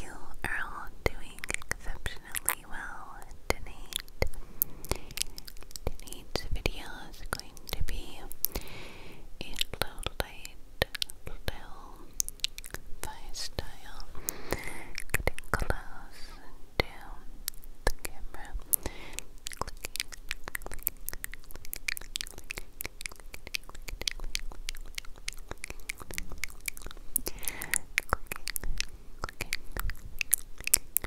you are all doing exceptionally well today. Tonight's video is going to be a little light, little by getting close to the camera,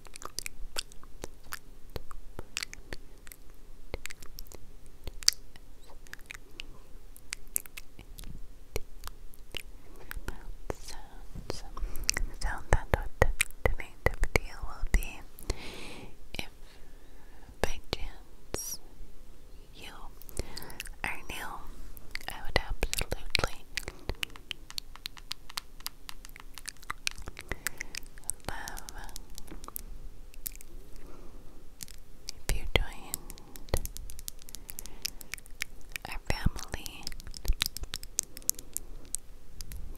sounds. So that what the deal will be if by chance you are new, I would absolutely love. If you joined our family,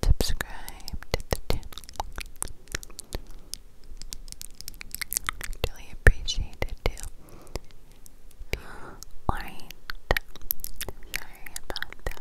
subscribe Really appreciate it too. Alright. Sorry about that.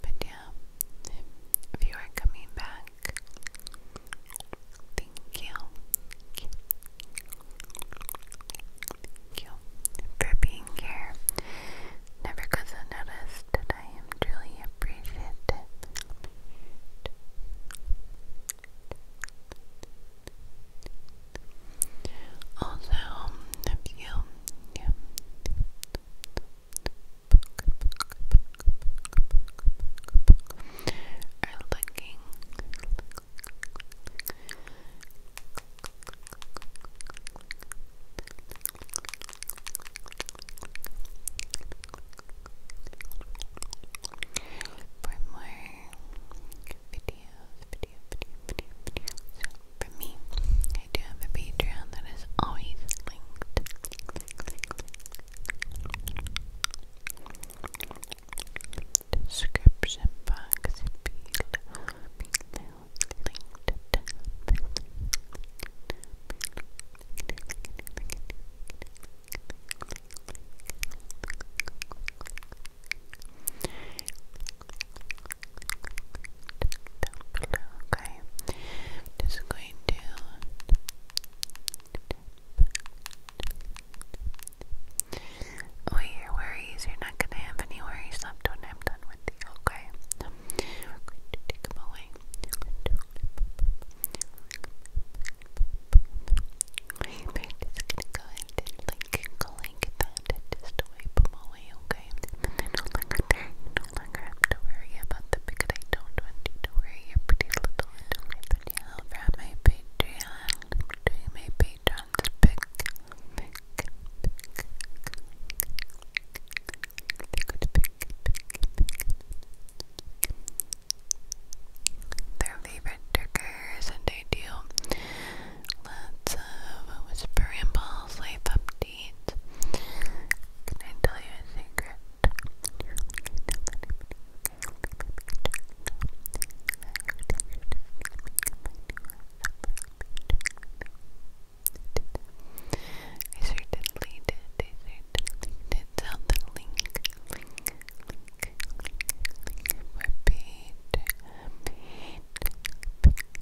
But yeah, if you are coming back, thank you. you. you for being here. Never goes unnoticed that I am truly appreciated. Also, um, if you um, are looking for more videos, video, video, video, video. for me, I do have a Patreon that is always linked. Description box below, linked. Okay, just going to Oh, your worries, you're not gonna have any worries left when I'm done with you, okay? So, we going to take them away. We're just gonna go and like can click that just wipe them away, okay? they no longer there. You no longer have to worry about the because I don't want to worry your pretty little little pretty little from my Patreon. Do my Patreon's pick, pick, pick, pick, pick, pick, pick. Their favorite triggers and I do Let's have a whisper rambles life update. Can I tell you a secret? I certainly did. I certainly did the link, link,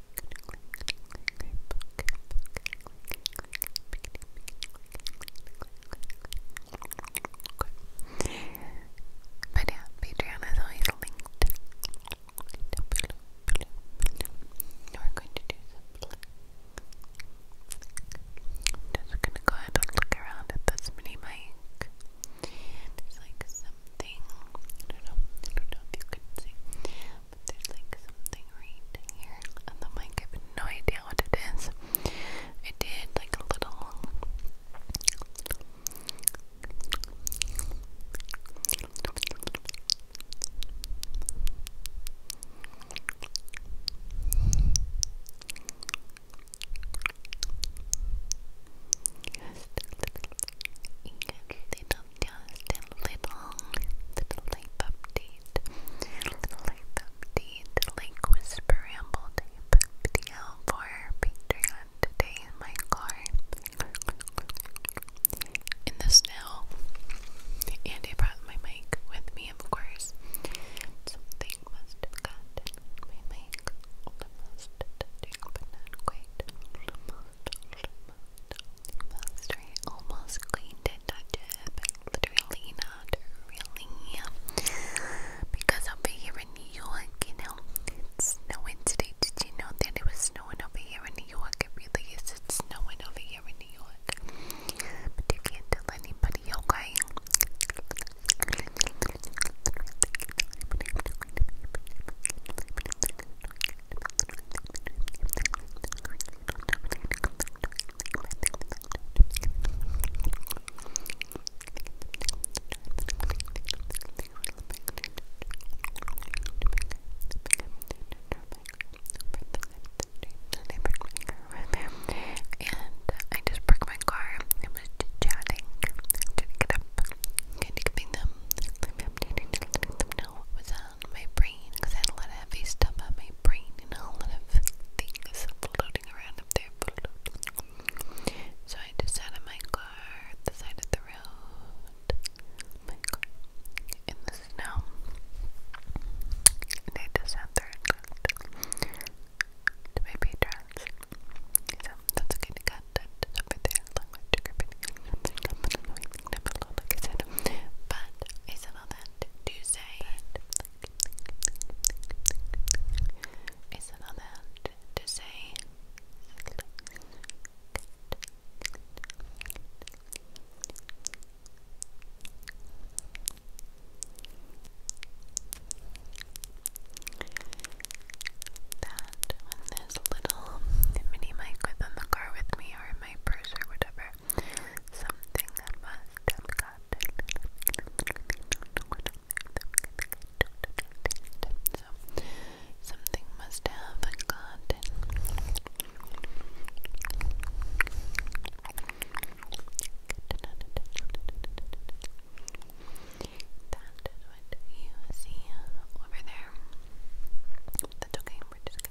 Okay. But yeah, Patreon is always linked down We're going to do some just gonna go ahead and look around at this mini mic. There's like something I don't know, I don't know if you can see there's like something right here on the mic. I have no idea what it is. I did like a little of just a little, little update, little update, like whisper ramble type video for Patreon today in my car, in the snow, and I brought my mic with me, of course. Something must have gotten my mic almost touching, but not quite. Almost, almost, almost cleaned it, touch it, literally not really. Because over here in New York, you know, it's snowing today. Did you know that it was snowing over here in New York? It really is. snowing over here in New York. But you can't tell anybody, okay? And I just parked my car. I was chatting, trying to get up, kind of giving them, I'm dating, them know what was up. Uh, around my brain I had a lot of heavy stuff on my brain and a lot of things floating around up there. So I just sat in my car at the side of the road, in the snow, and I just sat there and looked that's okay to cut that there Never like But I said all that to say I said all that to say that when this little mini mic was the car with me or in my purse or whatever, Something must have gotten. something must have gotten. That is you see over there. That's okay, we're just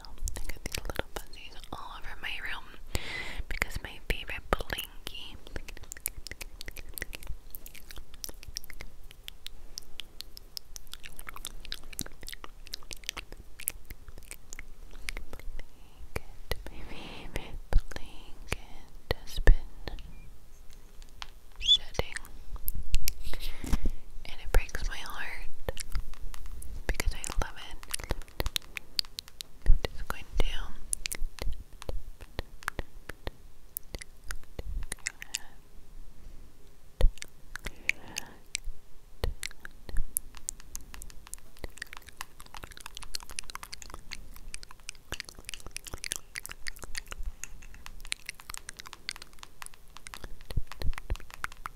I got these little fuzzies all over my room because my favorite Blinky my favorite blanket has been shedding and it breaks my heart because I love it. I'm just going to Okay.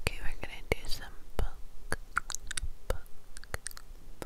Okay, we're gonna do some book,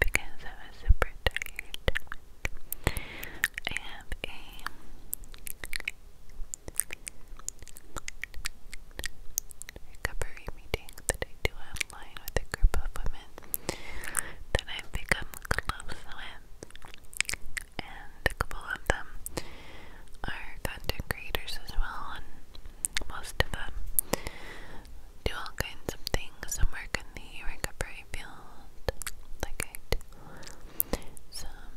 because I was super tired. I have a recovery meeting that I do online with a group of women that I've become close with, and a couple of them are content creators as well, and most of them do all kinds of things some work in the recovery field like I do some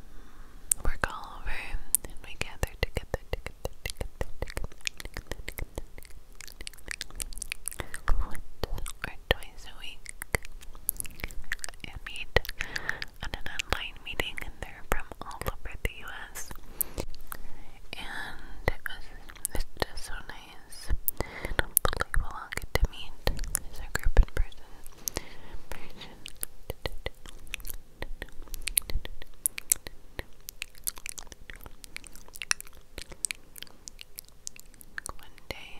work all over and we gather together together together together together together together once or twice a week and meet on an online meeting and they're from all over the US. And it was just so nice unbelievable. to meet as group in person. One day.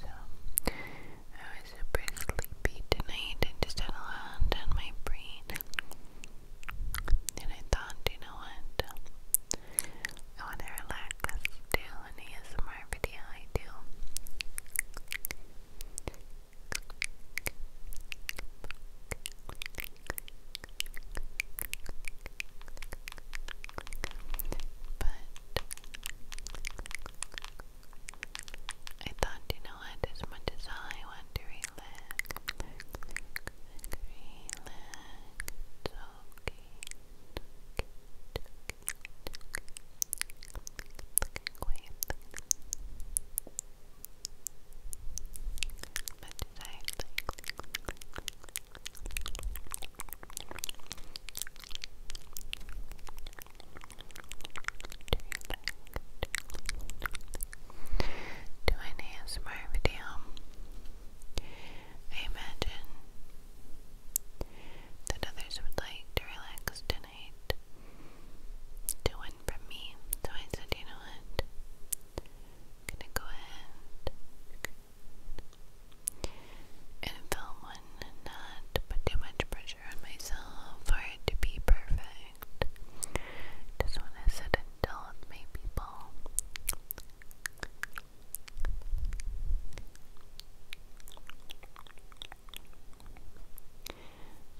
So, I was super sleepy tonight. I just had a lot on my brain. And I thought, you know what? I want to relax, do an ASMR video. I do. I thought, you know what, as much as I want to relax, relax, it's okay, it's okay, it's okay, it's okay. Look away, look away. But did I like do an video? I imagine that others would like to relax tonight, to from me. So I said, you know what? am gonna go ahead and film one not put too much pressure on myself for it to be perfect. Just wanna sit and deal my people.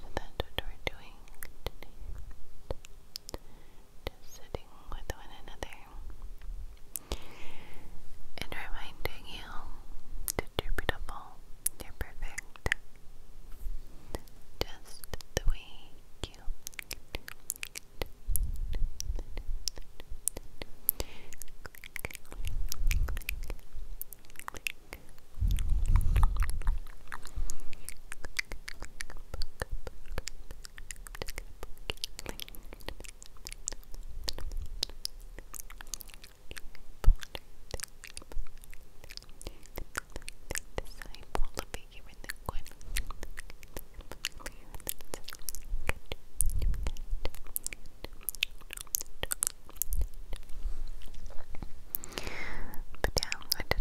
So that's what we're doing Just sitting with one another and reminding you that you're beautiful, you're perfect, just the way you click, but yeah, I did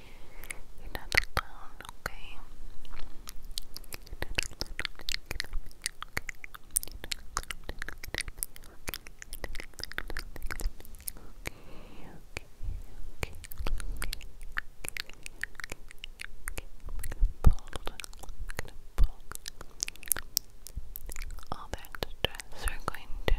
you okay? you all that stress. We're going to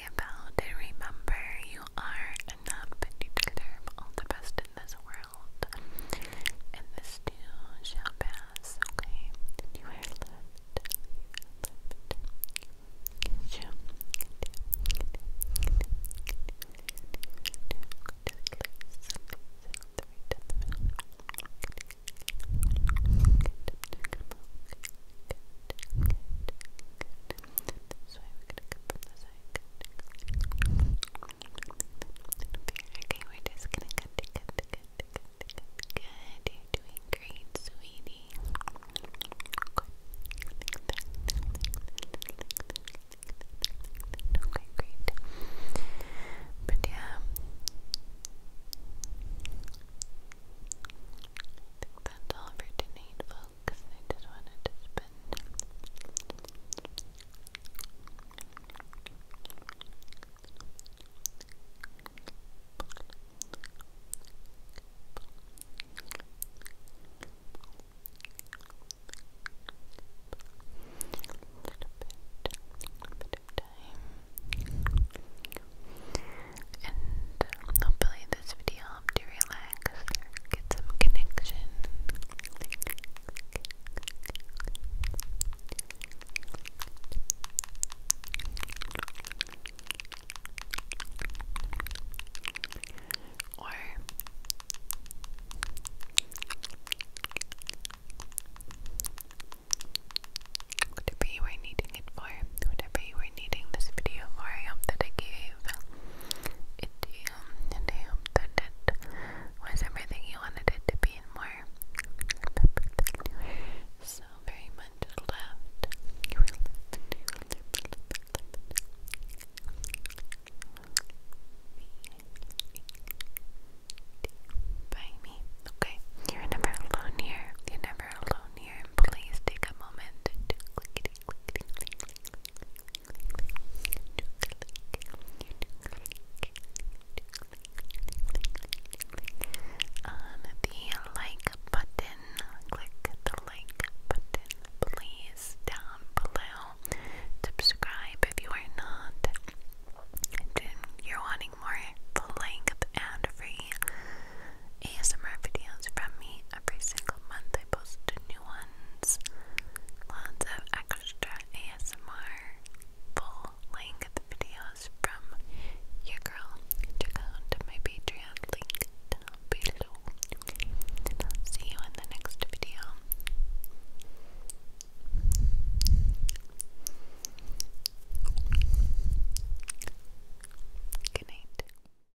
happy And remember, you are enough and you deserve all the best in this world. And this too shall pass, okay? good, Okay, we're just gonna cut, cut, cut, cut, cut, cut. Good, you doing great, sweetie. Okay, great. But yeah. that's all for tonight, because I just wanted to spend a bit of time and uh, hopefully this video help to relax, get some connection. Or whatever you were needing it for, whatever you were needing this video for, I hope that I gave idiom, idiom that was everything you wanted it to be and more. So very much loved. By me. Okay. You're never alone here. You're never alone here. And please take a moment on the like button. Click the like button, please, down below. Subscribe if you are not. You're wanting more full length ad free ASMR videos from me every single month. I post new ones, lots of extra ASMR full length videos from your girl. Check out my Patreon link down below. see you in the next video. Good night.